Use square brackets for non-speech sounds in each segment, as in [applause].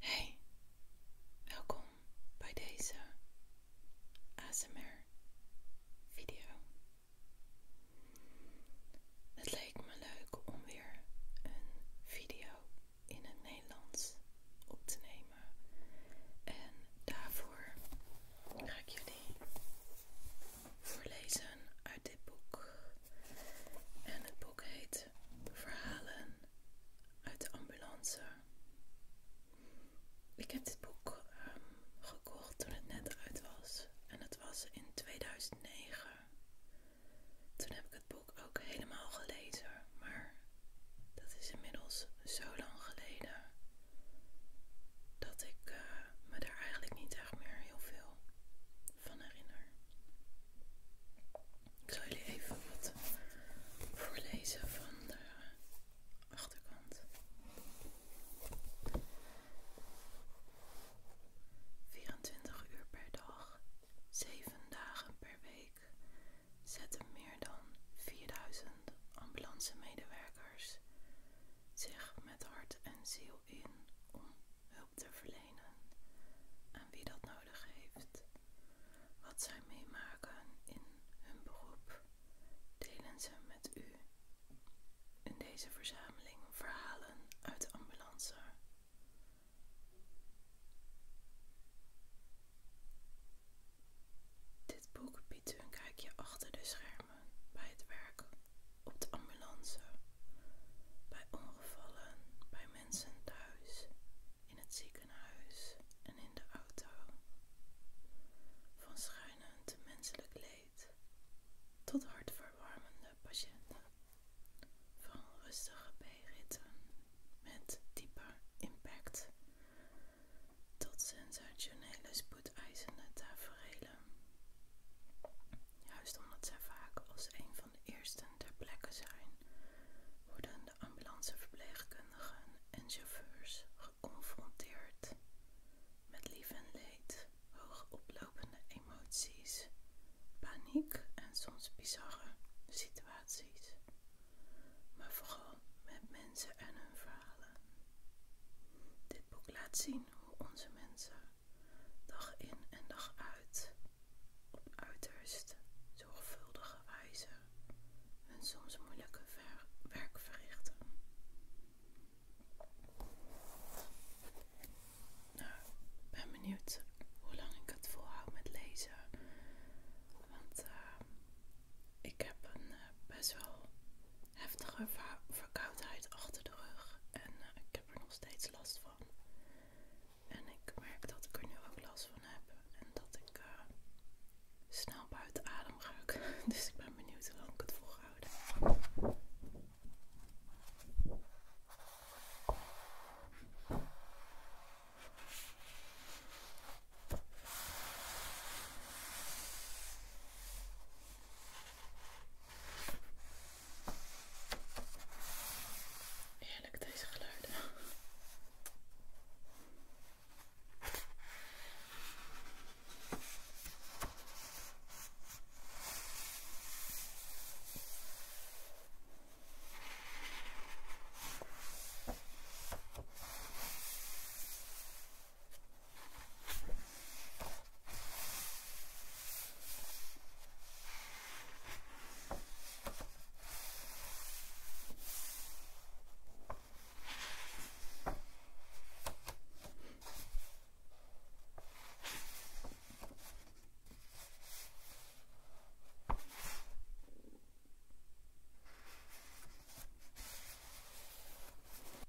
Hey, welkom bij deze ASMR video. Het leek me leuk om weer een video in het Nederlands op te nemen. En daarvoor ga ik jullie voorlezen uit dit boek. En het boek heet Verhalen uit de ambulance. Ik heb dit boek ehm, gekocht toen het net uit was. En het was in 2009. Toen heb ik het boek ook helemaal gelezen. Maar dat is inmiddels zo lang geleden. Dat ik eh, me daar eigenlijk niet echt meer heel veel van herinner. Ik zal jullie even wat voorlezen van de achterkant. 24 uur per dag, 7 dagen per week zetten meer dan 4000 ambulance medewerkers zich met hart en ziel in om hulp te verlenen aan wie dat nodig heeft. Wat zij meemaken in hun beroep delen ze met u. In deze verzameling verhalen uit de ambulance. Dit boek biedt u een kijkje achter de schermen bij het werk op de ambulance, bij ongevallen, bij mensen mensen thuis, in het ziekenhuis en in de auto. Van te menselijk leed tot hartverwarmende patiënten. Van rustige B-ritten met diepe impact tot sensationele spoedeisende tafereelen, Juist omdat zij vaak als een eersten ter plekke zijn, worden de ambulanceverpleegkundigen en chauffeurs geconfronteerd met lief en leed, hoogoplopende emoties, paniek en soms bizarre situaties, maar vooral met mensen en hun verhalen. Dit boek laat zien hoe onze mensen dag in en dag uit uiterst zorgvuldige wijze en soms moeilijke werk verrichten. Nou, ik ben benieuwd hoe lang ik het volhoud met lezen. Want eh, ik heb een eh, best wel heftige verkoudheid achter de rug. En eh, ik heb er nog steeds last van. En ik merk dat ik er nu ook last van heb en dat ik eh, snel buiten adem ga [laughs] Dus ik ben benieuwd hoe lang ik het houden heerlijk deze geluiden.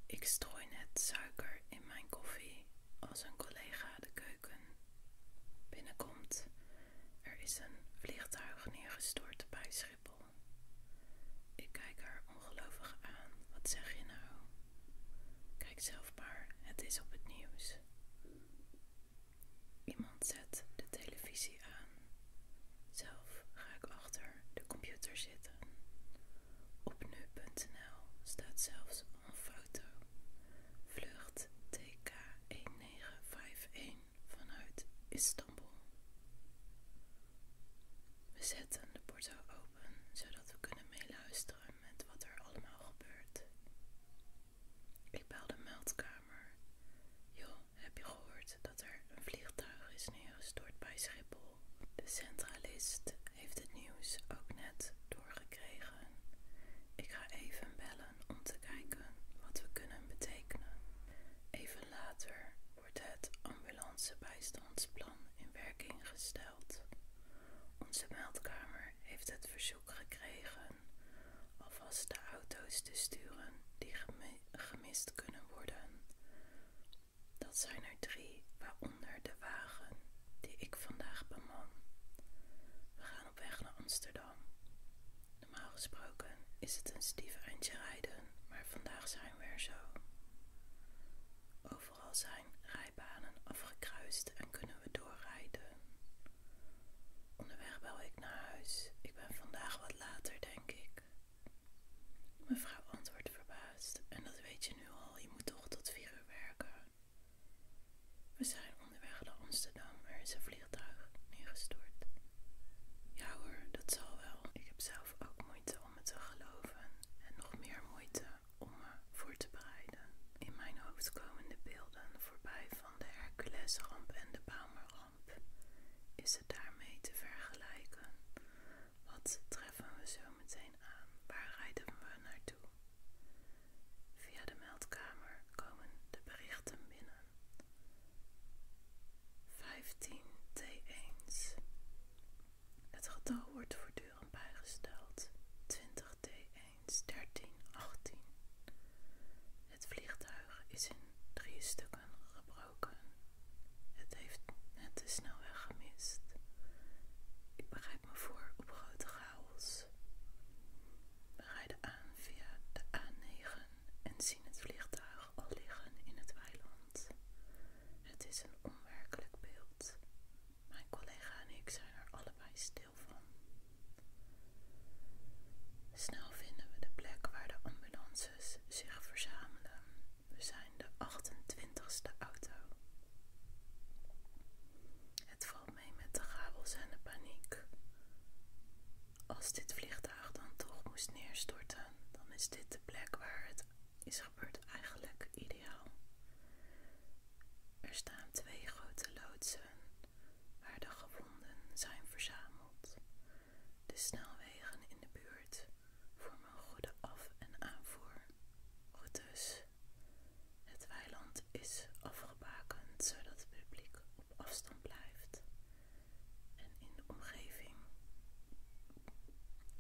Ik strooi net suiker in mijn koffie als een collega de keuken binnenkomt. Er is een vliegtuig neergestort bij Schiphol. Ik kijk haar ongelovig aan. Wat zeg je nou? Kijk zelf maar, het is op het nieuws. Iemand zet de televisie aan. Zelf ga ik achter de computer zitten. Op nu.nl staat zelfs een foto. Vlucht TK19. 951 vanuit Istanbul. We zetten de porto open zodat we kunnen meeluisteren met wat er allemaal gebeurt. Ik bel de meldkamer. Joh, heb je gehoord dat er een vliegtuig is neergestort bij Schiphol? De centralist heeft het nieuws ook net doorgekregen ik ga even bellen om te kijken wat we kunnen betekenen. Even later wordt het ambulancebijstandsplan in werking gesteld. Onze meldkamer heeft het verzoek gekregen alvast de auto's te sturen die gemist kunnen worden. Dat zijn er drie, waaronder de wagen die ik vandaag beman. We gaan op weg naar Amsterdam. Normaal gesproken is het een stief eindje rijden, maar vandaag zijn we er zo. Overal zijn rijbanen afgekruist en kunnen we doorrijden. Onderweg bel ik naar huis. Ik ben vandaag wat later, denk ik. Mevrouw antwoordt verbaasd. En dat weet je nu al, je moet toch tot vier uur werken. We zijn onderweg naar Amsterdam. Er is een vliegtuig neergestort. Ja hoor, dat zal wel. Ik heb zelf ook moeite om me te geloven. En nog meer moeite om me voor te bereiden. In mijn hoofd komen de beelden voorbij van de Herculesramp en de Palmerramp. Is het daarmee te vergelijken? Wat treffen we zo meteen aan? Waar rijden we naartoe? Via de meldkamer komen de berichten binnen. 15 t 1 Het getal wordt voortdurend bijgesteld. 20 t 1 13, 18. Het vliegtuig is in drie stukken gebroken. Het heeft net de snelweg gemist. Ik bereid me voor op grote chaos. We rijden aan via de A9 en zien het vliegtuig al liggen in het weiland. Het is een onwerkelijk beeld. Mijn collega en ik zijn er allebei stil van. Snel vinden we de plek waar de ambulances zich verzamelen. We zijn de 28ste auto. Het valt mee met de chaos en de paniek als dit vliegtuig dan toch moest neerstorten, dan is dit de plek waar het is gebeurd eigenlijk ideaal. Er staan twee grote loodsen waar de gewonden zijn verzameld. De snelwegen in de buurt voor vormen goede af- en aanvoer. Goed het weiland is afgebakend zodat het publiek op afstand blijft. En in de omgeving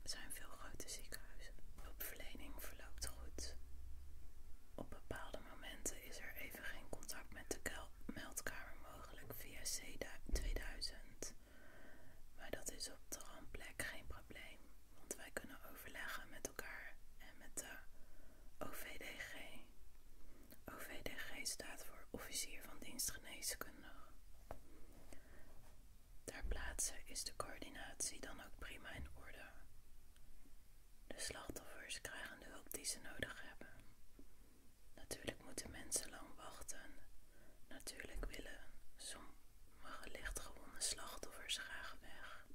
zijn veel grote ziekenhuizen. Hulpverlening verloopt goed. Op bepaalde momenten is er even geen contact met de meldkamer mogelijk via C2000. Maar dat is op de plek geen probleem, want wij kunnen overleggen met elkaar en met de OVDG. OVDG staat voor Officier van Dienstgeneeskundig. Daar plaatsen is de coördinatie dan ook prima in orde. De slachtoffers krijgen de hulp die ze nodig hebben. Natuurlijk moeten mensen lang wachten. Natuurlijk willen sommige lichtgewonde slachtoffers graag weg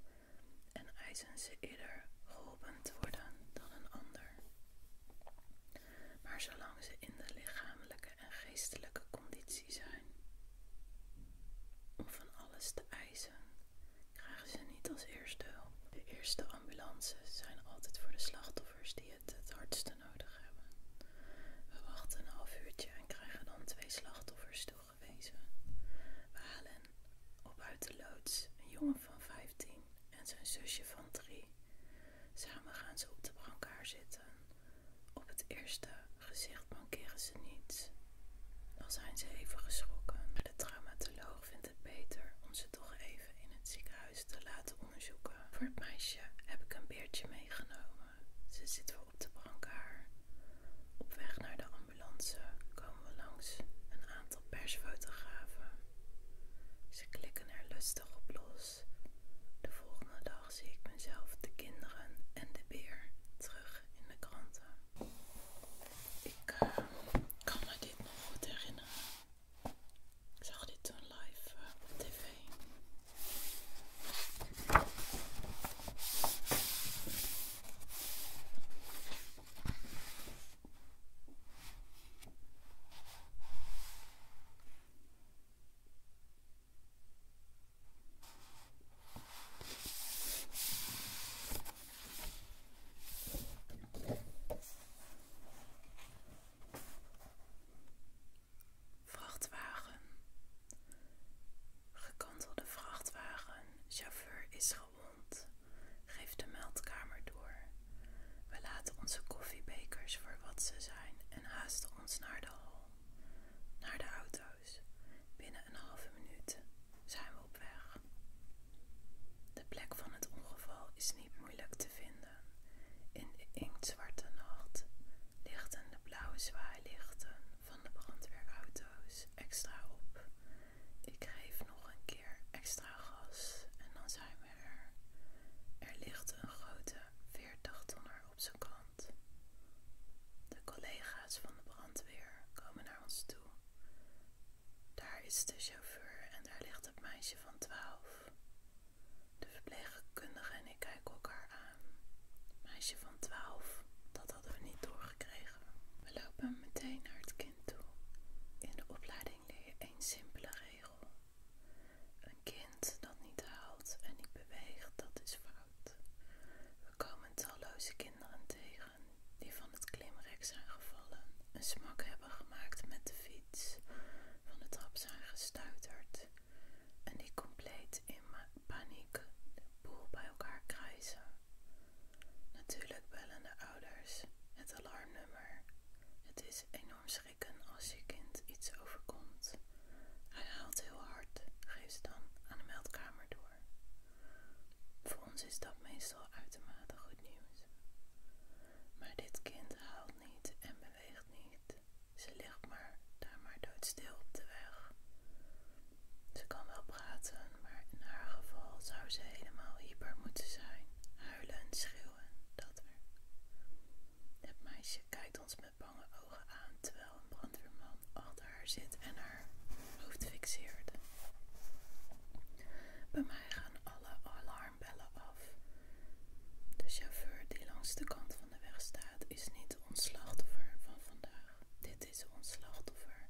en eisen ze eerder worden dan een ander. Maar zolang ze in de lichamelijke en geestelijke conditie zijn, om van alles te eisen, krijgen ze niet als eerste hulp. De eerste ambulances zijn altijd voor de slachtoffers die het het hardste nodig hebben. We wachten een half uurtje en krijgen dan twee slachtoffers toegewezen. We halen op uit de loods een jongen van 15 en zijn zusje van 3. Samen gaan ze op de brancard zitten. Op het eerste gezicht bankeren ze niets. Dan zijn ze even geschrokken, maar de traumatoloog vindt het beter om ze toch even in het ziekenhuis te laten onderzoeken. Voor het meisje heb ik een beertje meegenomen. Ze zitten op de brancard. Op weg naar de ambulance komen we langs een aantal persfotografen. Ze klikken er lustig op los. De volgende dag zie ik mezelf, de kinderen en de beer terug in de kranten. Ik eh, kan me dit nog goed herinneren. Ik zag dit toen live eh, op tv. Vrachtwagen. Gekantelde vrachtwagen. Chauffeur is gewond. Geef de meldkamer door. We laten onze koffiebekers voor wat ze zijn en haasten ons naar de hal. Naar de auto's. Binnen een halve minuut zijn we op weg. De plek van het ongeval is niet moeilijk te vinden. In de inktzwarte nacht lichten de blauwe zwaailichten van de brandweerauto's extra op ik geef nog een keer extra gas en dan zijn we er. Er ligt een grote 40 tonner op zijn kant. De collega's van de brandweer komen naar ons toe. Daar is de chauffeur en daar ligt het meisje van 12. De verpleegkundige en ik kijken elkaar aan. Meisje van 12, dat hadden we niet doorgekregen. We lopen meteen naar het kind toe. In de opleiding opvoeding leer simpele regel. Een kind dat niet haalt en niet beweegt, dat is fout. We komen talloze kinderen tegen die van het klimrek zijn gevallen, een smak hebben gemaakt met de fiets, van de trap zijn gestuiterd en die compleet in paniek de boel bij elkaar krijzen. Natuurlijk bellen de ouders het alarmnummer. Het is enorm schrikken als je kind iets overkomt. Hij haalt heel hard, geef ze dan aan de meldkamer door. Voor ons is dat meestal uitermate goed nieuws. Maar dit kind haalt niet en beweegt niet. Ze ligt maar daar maar doodstil op de weg. Ze kan wel praten, maar in haar geval zou ze helemaal hyper moeten zijn. Huilen schreeuwen, dat Het meisje kijkt ons met bange ogen aan terwijl een brandweerman achter haar zit en haar hoofd fixeert. Bij mij gaan alle alarmbellen af. De chauffeur die langs de kant van de weg staat is niet ons slachtoffer van vandaag. Dit is ons slachtoffer.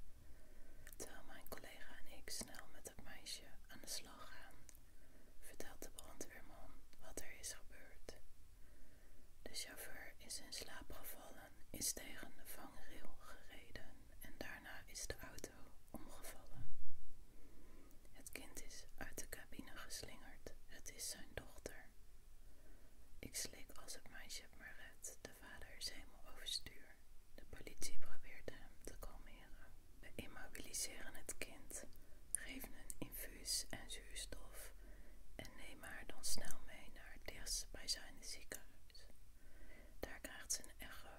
Terwijl mijn collega en ik snel met het meisje aan de slag gaan, vertelt de brandweerman wat er is gebeurd. De chauffeur is in slaap gevallen, is tegen de vangrail gereden en daarna is de auto omgevallen. Het kind is uit de cabine geslingerd, het is zijn dochter. Ik slik als het meisje maar redt, de vader is helemaal overstuur. De politie probeert hem te kalmeren. We immobiliseren het kind, geven een infuus en zuurstof en nemen haar dan snel mee naar het zijn ziekenhuis. Daar krijgt ze een echo.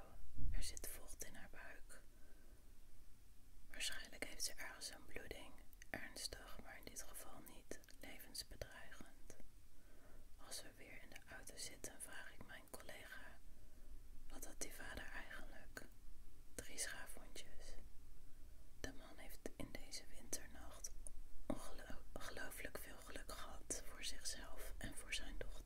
Er zit vocht in haar buik. Waarschijnlijk heeft ze ergens een bloeding, ernstig, maar in dit geval niet levensbedreigend. Als we weer in de auto zitten, vraag ik mij mijn collega. Wat had die vader eigenlijk? Drie schaafhondjes. De man heeft in deze winternacht ongelooflijk veel geluk gehad voor zichzelf en voor zijn dochter.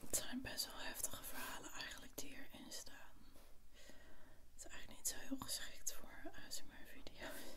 Het zijn best wel heftige verhalen eigenlijk die hierin staan. Het is eigenlijk niet zo heel geschikt voor ASMR-video's.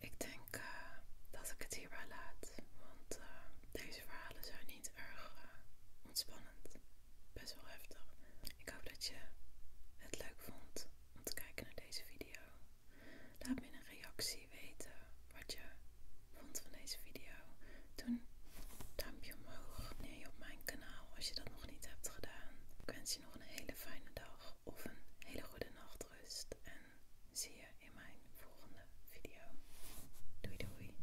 Ik denk eh, dat ik het hierbij laat, want eh, deze verhalen zijn niet erg eh, ontspannend best wel heftig. Ik hoop dat je het leuk vond om te kijken naar deze video. Laat me in een reactie weten wat je vond van deze video. Doe een duimpje omhoog, abonneer je op mijn kanaal als je dat nog niet hebt gedaan. Ik wens je nog een hele fijne dag of een hele goede nachtrust en zie je in mijn volgende video. Doei doei!